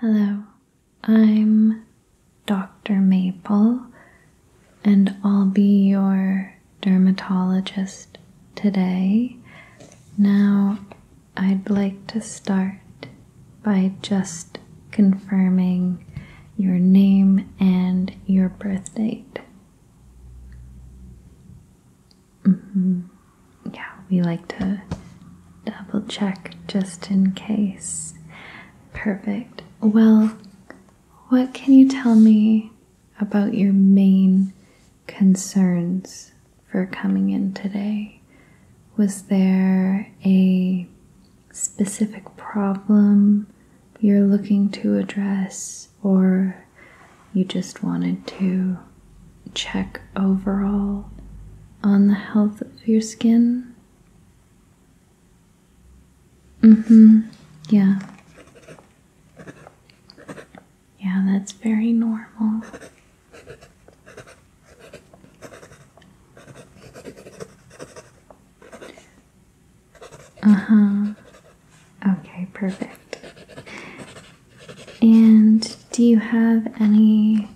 Hello, I'm Dr. Maple, and I'll be your dermatologist today. Now, I'd like to start by just confirming your name and your birth date. Mm-hmm. Yeah, we like to double check just in case. Perfect. Well, what can you tell me about your main concerns for coming in today? Was there a specific problem you're looking to address or you just wanted to check overall on the health of your skin? Mm hmm, yeah. Yeah, that's very normal. Uh huh. Okay, perfect. And do you have any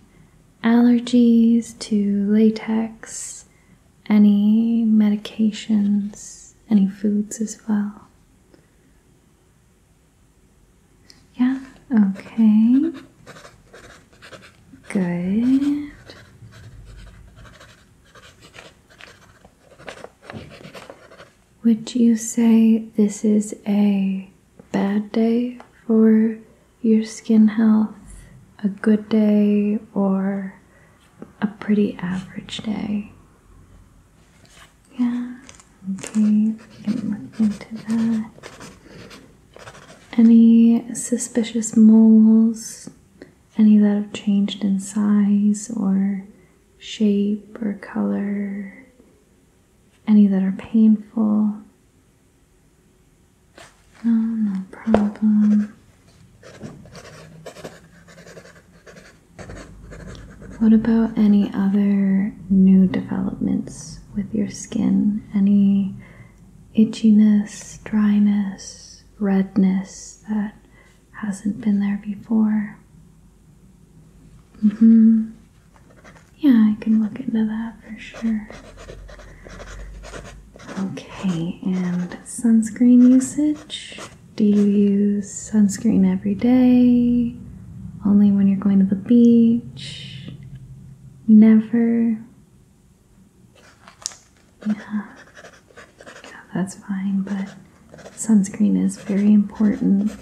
allergies to latex? Any medications? Any foods as well? Yeah, okay. Good. Would you say this is a bad day for your skin health, a good day, or a pretty average day? Yeah, okay, Any suspicious moles? Any that have changed in size or shape or color? any that are painful. No, no problem. What about any other new developments with your skin? Any itchiness, dryness, redness that hasn't been there before? hmm Yeah, I can look into that for sure. Okay, and sunscreen usage? Do you use sunscreen every day? Only when you're going to the beach? Never? Yeah. yeah that's fine, but sunscreen is very important.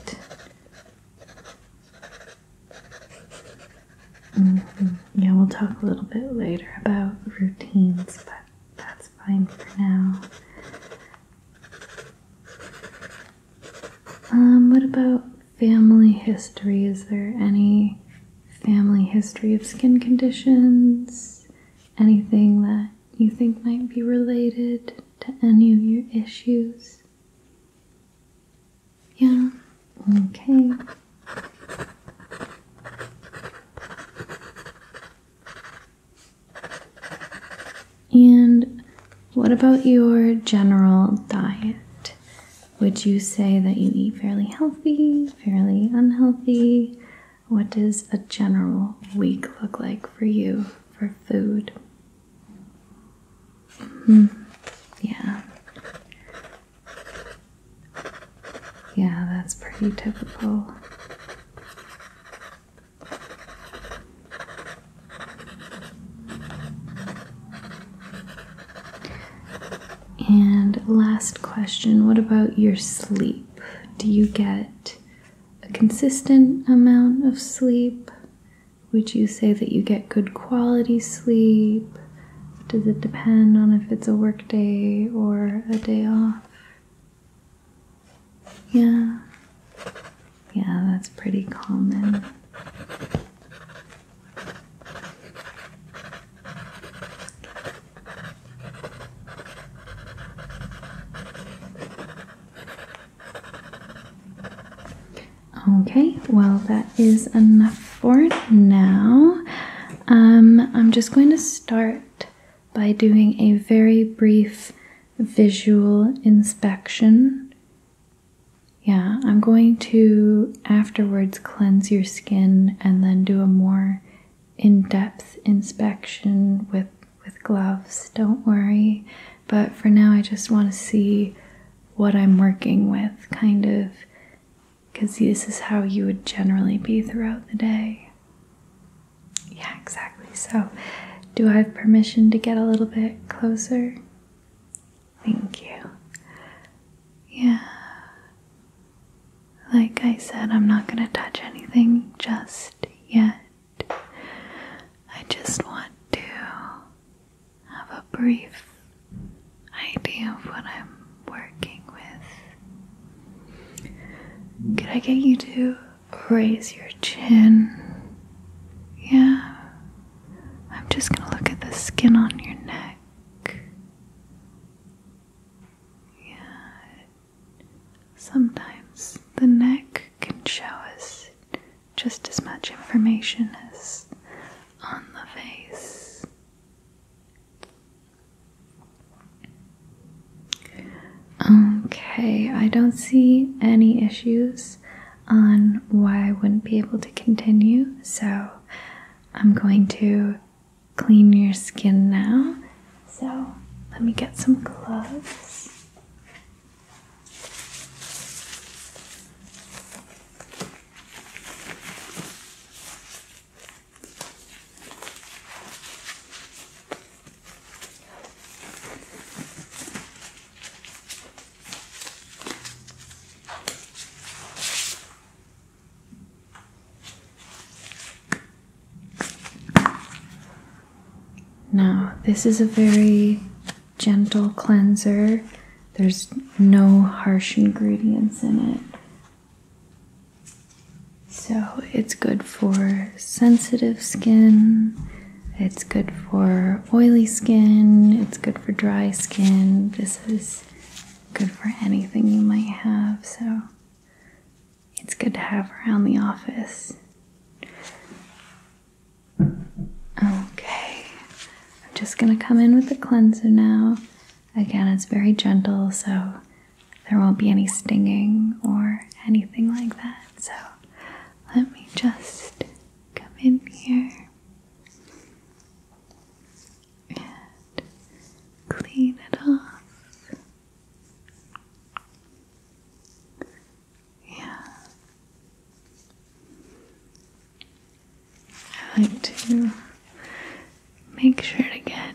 Mm-hmm. Yeah, we'll talk a little bit later about routines, but that's fine for now. Um, what about family history? Is there any family history of skin conditions? Anything that you think might be related to any of your issues? Yeah, okay. And what about your general diet? Would you say that you eat fairly healthy, fairly unhealthy? What does a general week look like for you for food? Hmm. Yeah. Yeah, that's pretty typical. And last question what about your sleep? Do you get a consistent amount of sleep? Would you say that you get good quality sleep? Does it depend on if it's a work day or a day off? Yeah. Yeah, that's pretty common. Okay, well, that is enough for now. Um, I'm just going to start by doing a very brief visual inspection. Yeah, I'm going to afterwards cleanse your skin and then do a more in-depth inspection with with gloves. Don't worry. But for now, I just want to see what I'm working with, kind of, because this is how you would generally be throughout the day. Yeah, exactly. So, do I have permission to get a little bit closer? Thank you. Yeah. Like I said, I'm not going to touch anything just yet. I just want to have a brief idea of what I'm working with. Could I get you to raise your chin? Yeah. I'm just going to look at the skin on your neck. Yeah. Sometimes the neck can show us just as much information as on the face. Okay, I don't see any issues on why I wouldn't be able to continue, so I'm going to clean your skin now. So let me get some gloves. Now, this is a very gentle cleanser. There's no harsh ingredients in it. So it's good for sensitive skin, it's good for oily skin, it's good for dry skin. This is good for anything you might have, so it's good to have around the office. Okay, I'm just going to come in with the cleanser now. Again, it's very gentle, so there won't be any stinging or anything like that. So let me just come in here and clean it off. Yeah. I like to make sure to get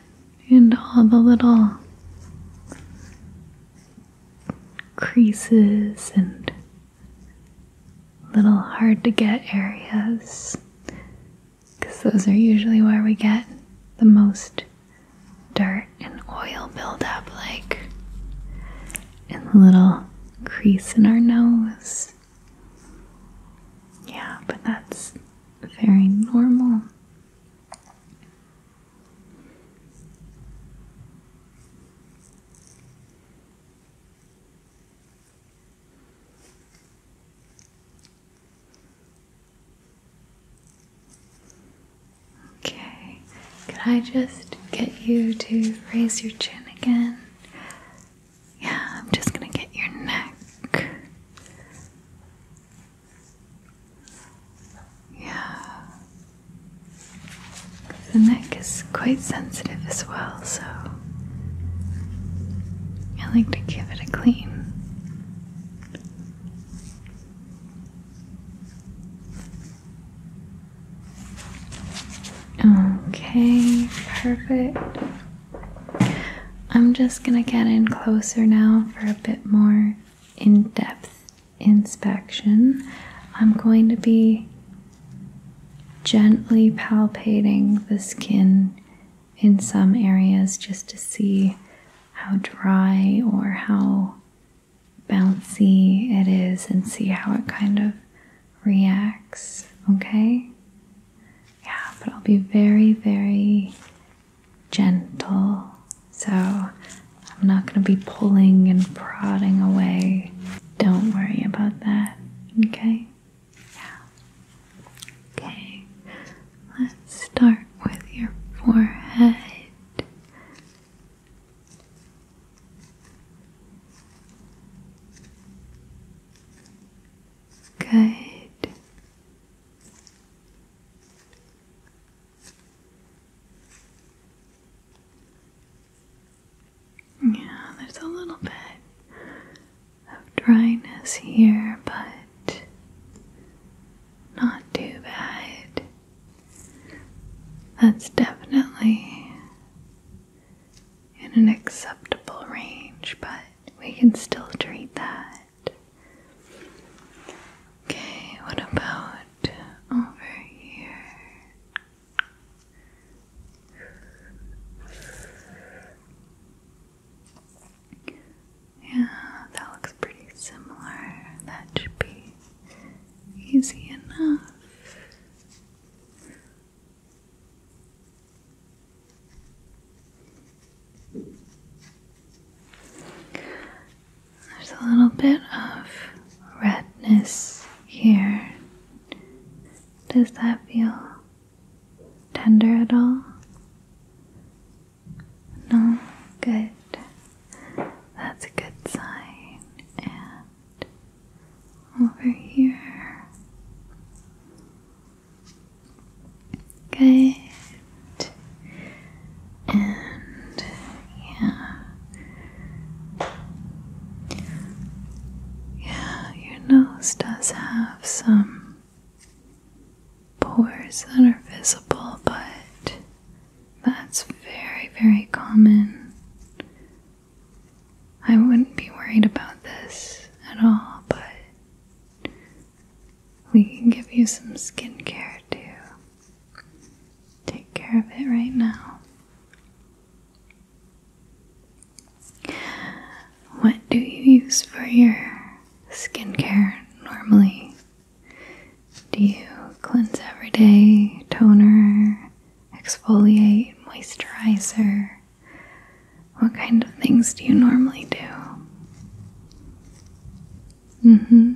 into all the little creases and little hard to get areas because those are usually where we get the most dirt and oil buildup, like and the little crease in our nose. Yeah, but that's very normal. Okay, could I just get you to raise your chin again? Yeah, I'm just gonna get your neck. Yeah. The neck is quite sensitive as well, so I like to give it a clean. Okay, perfect. I'm just going to get in closer now for a bit more in depth inspection. I'm going to be gently palpating the skin in some areas just to see how dry or how bouncy it is and see how it kind of reacts, okay? Yeah, but I'll be very, very gentle. So I'm not going to be pulling and prodding away. Don't worry about that, okay? Yeah. Okay, let's start with your forehead. Good. Yeah, there's a little bit of dryness here, but not too bad. That's definitely in an acceptable range, but we can still treat that. Okay, what about over here? Yeah, that looks pretty similar. That should be easy enough. There's a little bit of redness here. Does that feel tender at all? No? Good. That's a good sign. And over here. Good. And yeah. Yeah, your nose does have some pores that are visible, but that's very, very common I wouldn't be worried about this at all, but we can give you some skincare too. take care of it right now. What do you use for your skincare normally? Do you cleanse every day, toner, exfoliate, moisturizer? What kind of things do you normally do? Mm hmm.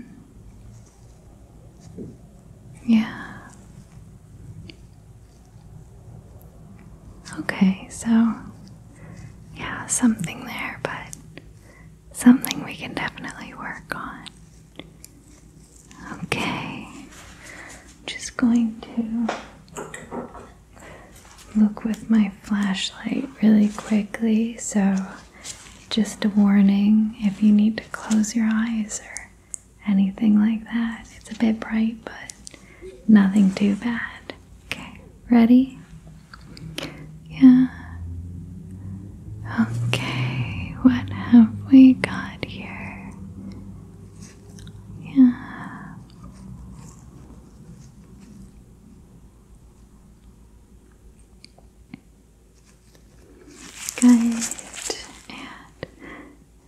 Yeah. Okay, so yeah, something there, but something we can definitely work on. Okay, just going to look with my flashlight really quickly. So, just a warning if you need to close your eyes or anything like that, it's a bit bright, but nothing too bad. Okay, ready? Yeah. Okay, what have we got here? Yeah. Good. And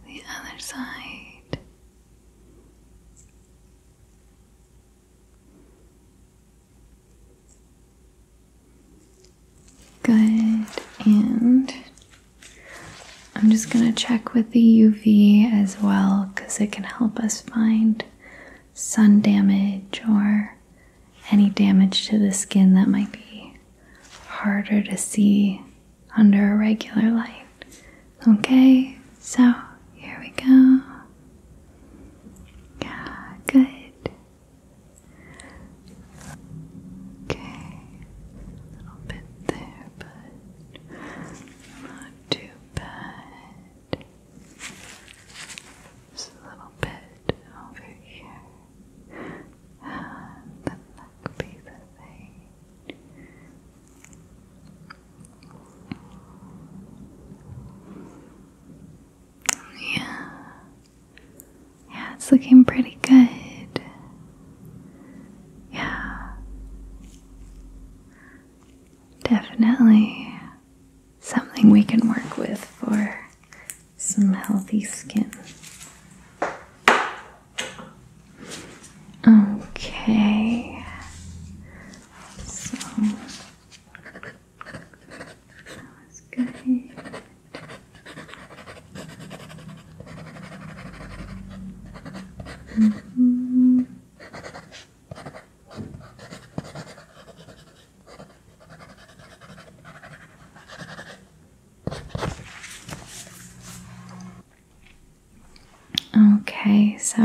the other side. Good. And I'm just going to check with the UV as well because it can help us find sun damage or any damage to the skin that might be harder to see under a regular light. Okay, so here we go. Yeah, good. Okay, little bit there, but not too bad. Just a little bit over here. And then that could Yeah. Yeah, it's looking pretty good. Yeah. Definitely something we can work with for some healthy skin. Okay. So that was good. Okay, so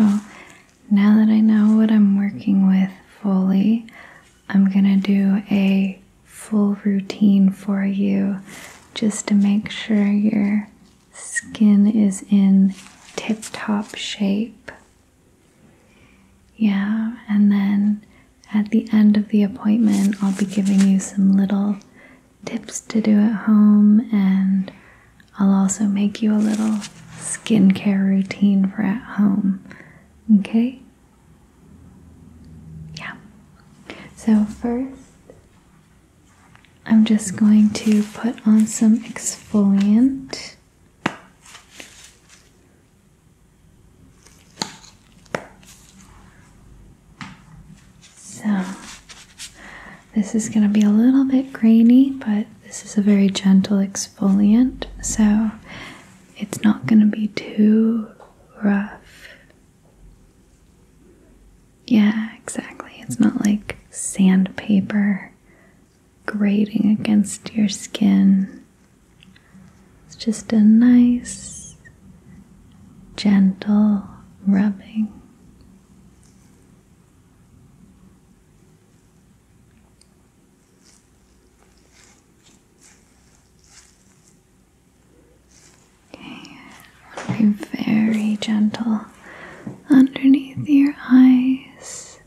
now that I know what I'm working with fully, I'm gonna do a full routine for you just to make sure you're skin is in tip top shape. Yeah, and then at the end of the appointment, I'll be giving you some little tips to do at home, and I'll also make you a little skincare routine for at home. Okay? Yeah. So, first, I'm just going to put on some exfoliant. So, this is going to be a little bit grainy, but this is a very gentle exfoliant, so it's not going to be too rough. Yeah, exactly. It's not like sandpaper grating against your skin. It's just a nice, gentle rubbing. I want to be very gentle underneath your eyes.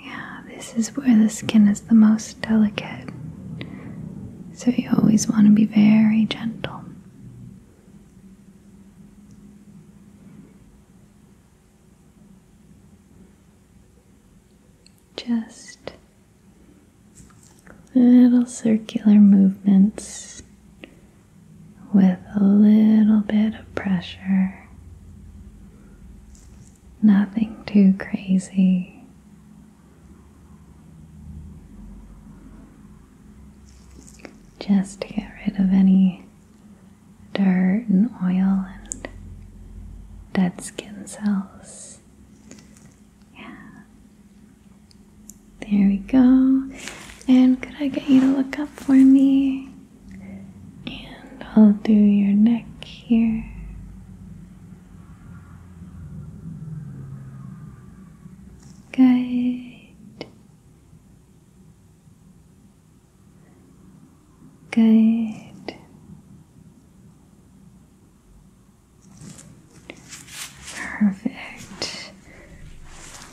Yeah, this is where the skin is the most delicate. So you always want to be very gentle. Just little circular movements with a little bit of pressure. Nothing too crazy. Just to get rid of any dirt and oil and dead skin cells. Yeah. There we go. And could I get you to look up for me? And I'll do your neck here. Good. Good. Perfect.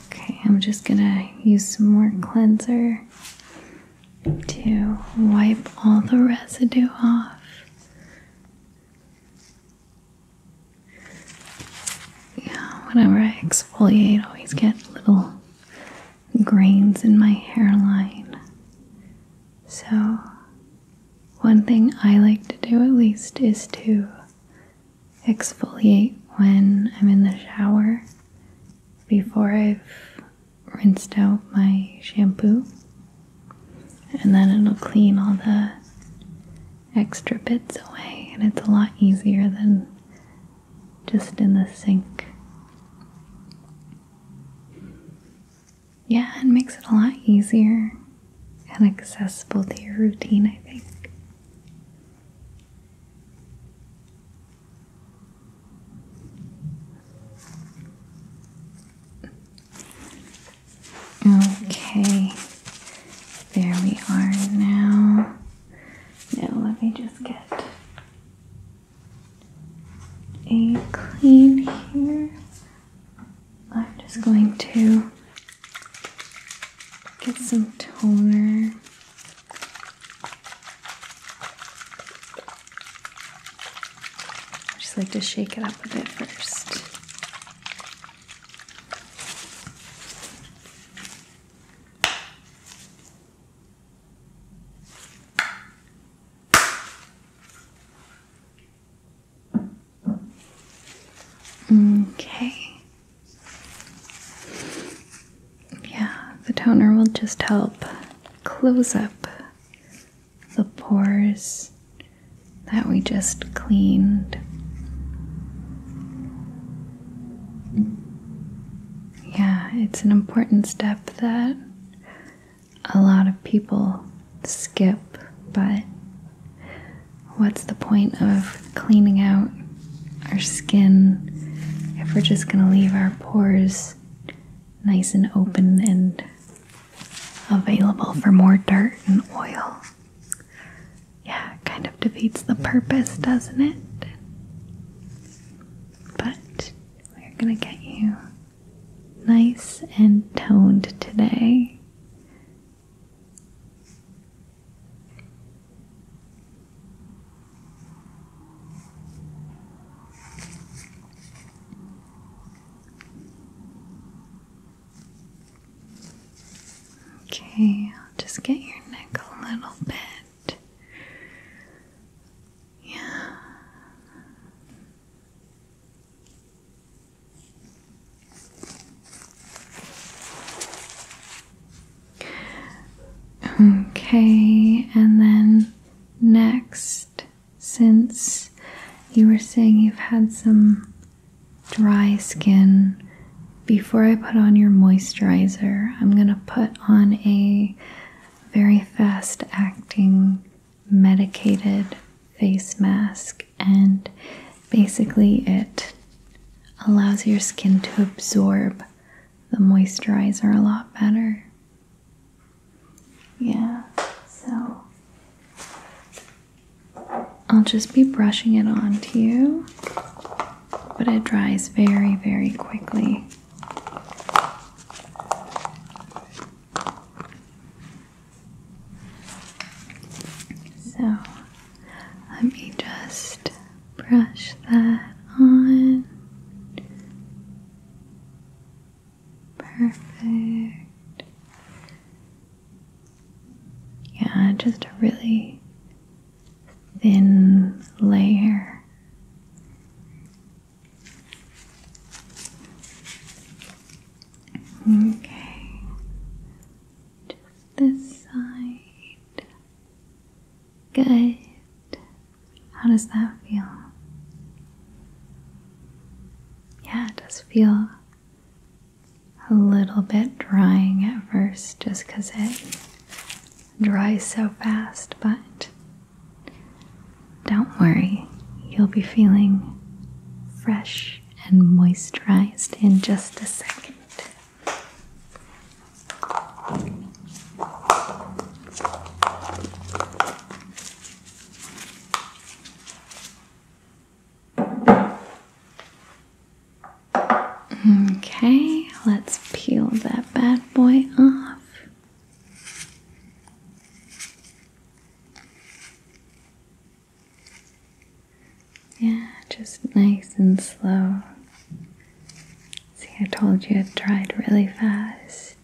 Okay, I'm just gonna use some more cleanser to wipe all the residue off. Yeah, whenever I exfoliate, I always get little grains in my hairline. So, one thing I like to do at least is to exfoliate when I'm in the shower before I've rinsed out my shampoo, and then it'll clean all the extra bits away, and it's a lot easier than just in the sink. Yeah, it makes it a lot easier and accessible to your routine, I think. Okay, there we are now. Now, let me just get a clean here. I'm just going to Get some toner. I just like to shake it up a bit first. Okay. Yeah, the toner will just help close up the pores that we just cleaned. Yeah, it's an important step that a lot of people skip, but What's the point of cleaning out our skin if we're just going to leave our pores nice and open and available for more dirt and oil? Yeah, kind of defeats the purpose, doesn't it? But we're going to get you nice and toned today. Okay, I'll just get your neck a little bit. Yeah. Okay, and then next, since you were saying you've had some dry skin, before I put on your moisturizer, I'm going to put on a very fast acting medicated face mask and basically it allows your skin to absorb the moisturizer a lot better. Yeah, so I'll just be brushing it onto you, but it dries very, very quickly. So let me just brush that on. Perfect. Yeah, just a really thin layer. Okay. Just this side. Good. How does that feel? Yeah, it does feel a little bit drying at first just because it dries so fast, but don't worry, you'll be feeling fresh and moisturized in just a second. Okay, let's peel that bad boy off. Yeah, just nice and slow. See, I told you it dried really fast.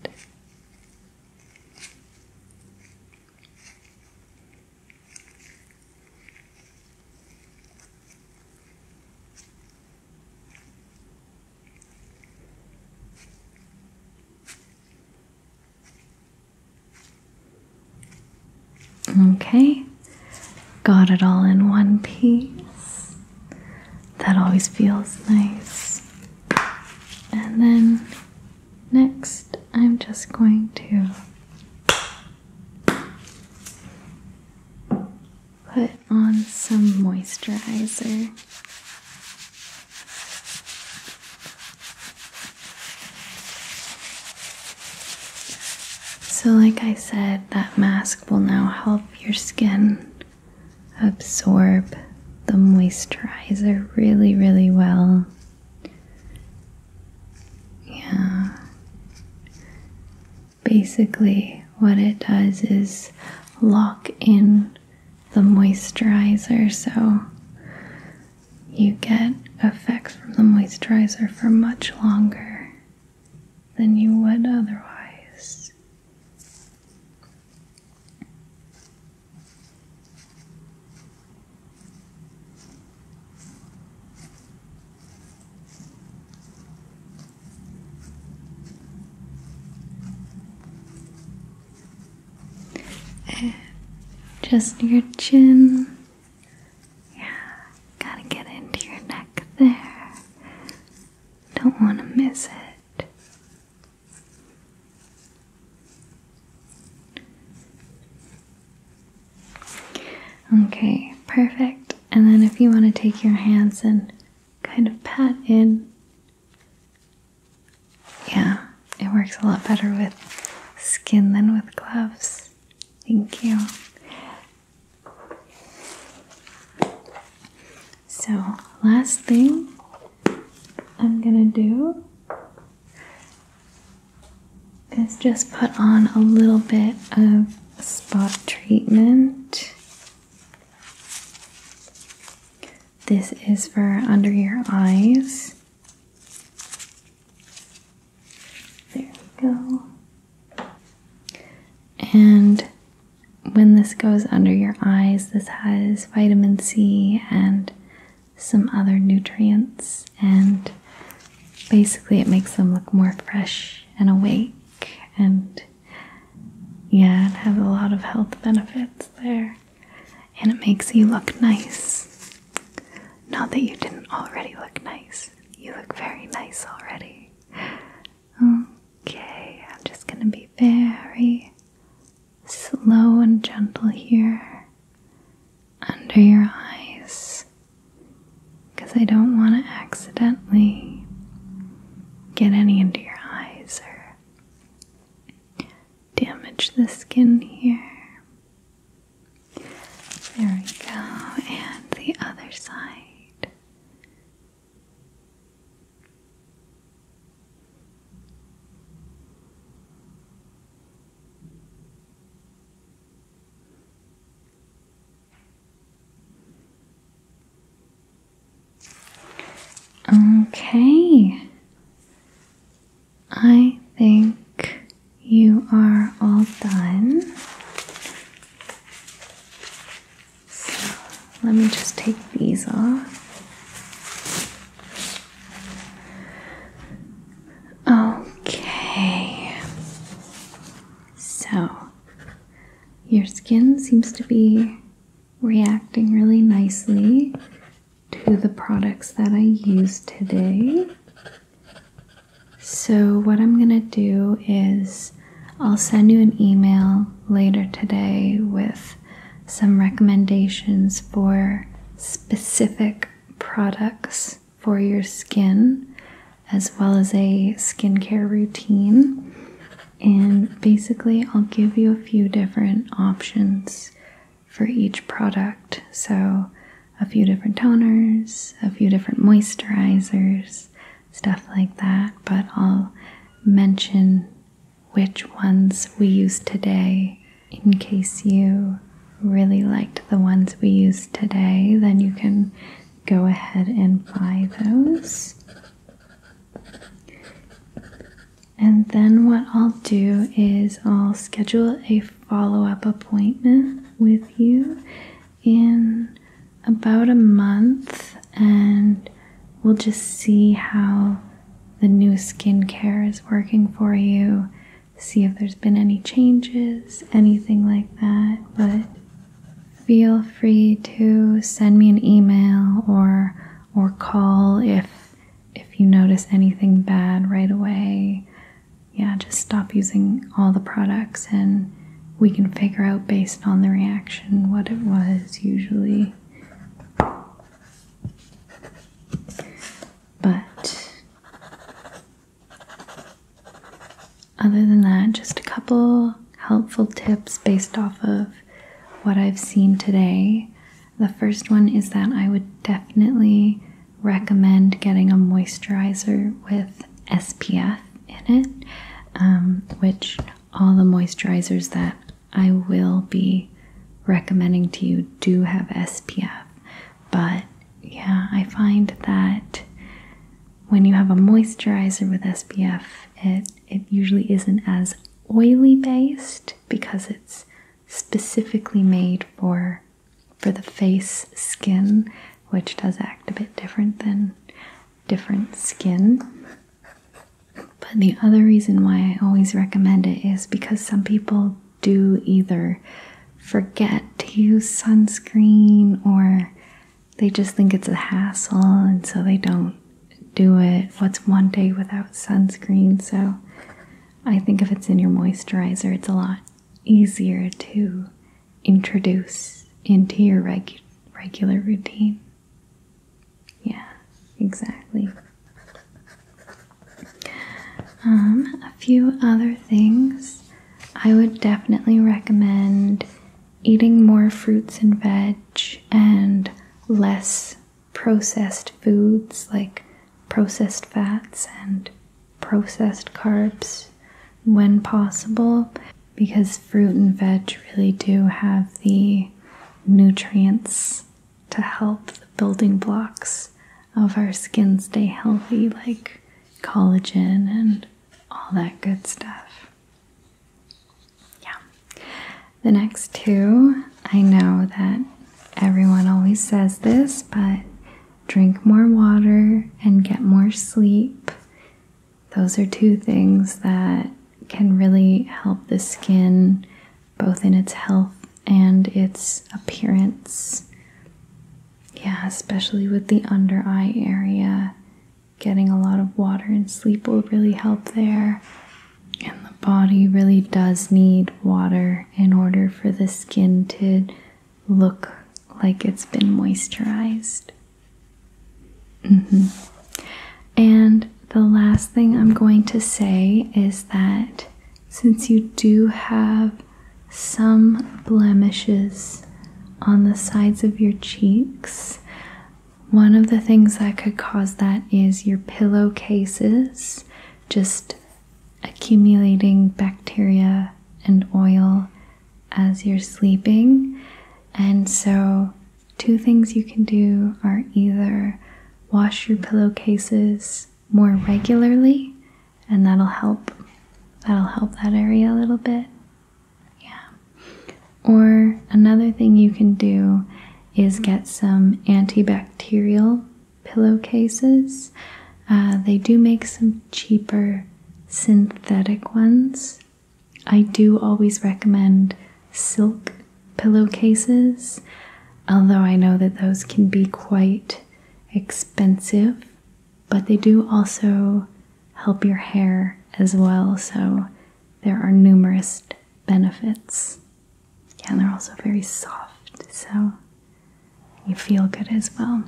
Okay, got it all in one piece. That always feels nice. And then next, I'm just going to put on some moisturizer. So, like I said, that mask will now help your skin absorb the moisturizer really, really well. Yeah. Basically, what it does is lock in the moisturizer so you get effects from the moisturizer for much longer than you would otherwise. Eh, just your chin yeah, gotta get into your neck there. Don't want to miss it. Okay, perfect. And then if you want to take your hands and kind of pat in. Yeah, it works a lot better with skin than with gloves. Thank you. So, last thing I'm gonna do is just put on a little bit of spot treatment. This is for under your eyes. There we go. And when this goes under your eyes, this has vitamin C and some other nutrients, and basically it makes them look more fresh and awake and yeah, it has a lot of health benefits there. And it makes you look nice. Not that you didn't already look nice. You look very nice already. Okay, I'm just gonna be very slow and gentle here under your eyes because I don't want to accidentally get any into your eyes or damage the skin here. There we go, and the other side. Okay. I think you are all done. So let me just take these off. Okay. So your skin seems to be reacting really nicely to the products that I used today. So, what I'm going to do is I'll send you an email later today with some recommendations for specific products for your skin, as well as a skincare routine. And basically, I'll give you a few different options for each product. So, a few different toners, a few different moisturizers stuff like that, but I'll mention which ones we use today in case you really liked the ones we used today, then you can go ahead and buy those. And then what I'll do is I'll schedule a follow-up appointment with you in about a month and we'll just see how the new skincare is working for you. See if there's been any changes, anything like that. But feel free to send me an email or or call if if you notice anything bad right away yeah, just stop using all the products and we can figure out based on the reaction what it was usually. But other than that, just a couple helpful tips based off of what I've seen today. The first one is that I would definitely recommend getting a moisturizer with SPF in it, um, which all the moisturizers that I will be recommending to you do have SPF. But yeah, I find that when you have a moisturizer with SPF, it it usually isn't as oily based because it's specifically made for for the face skin which does act a bit different than different skin. But the other reason why I always recommend it is because some people do either forget to use sunscreen or they just think it's a hassle and so they don't do it. What's one day without sunscreen? So I think if it's in your moisturizer, it's a lot easier to introduce into your regular routine. Yeah, exactly. Um, a few other things I would definitely recommend eating more fruits and veg and less processed foods like processed fats and processed carbs when possible because fruit and veg really do have the nutrients to help the building blocks of our skin stay healthy, like collagen and all that good stuff. Yeah. The next two, I know that everyone always says this, but drink more water and get more sleep those are two things that can really help the skin both in its health and its appearance. Yeah, especially with the under eye area. Getting a lot of water and sleep will really help there. And the body really does need water in order for the skin to look like it's been moisturized. Mm-hmm. And the last thing I'm going to say is that since you do have some blemishes on the sides of your cheeks, one of the things that could cause that is your pillowcases just accumulating bacteria and oil as you're sleeping. And so, two things you can do are either wash your pillowcases more regularly, and that'll help. That'll help that area a little bit. Yeah. Or another thing you can do is get some antibacterial pillowcases. Uh, they do make some cheaper synthetic ones I do always recommend silk pillowcases, although I know that those can be quite expensive, but they do also help your hair as well, so there are numerous benefits. Yeah, and they're also very soft, so you feel good as well.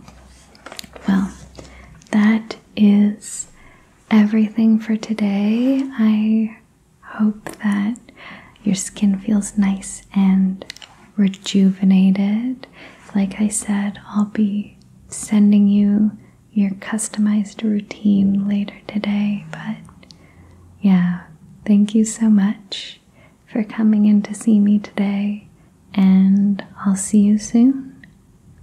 Well, that is everything for today. I hope that your skin feels nice and rejuvenated. Like I said, I'll be sending you your customized routine later today, but yeah, thank you so much for coming in to see me today, and I'll see you soon.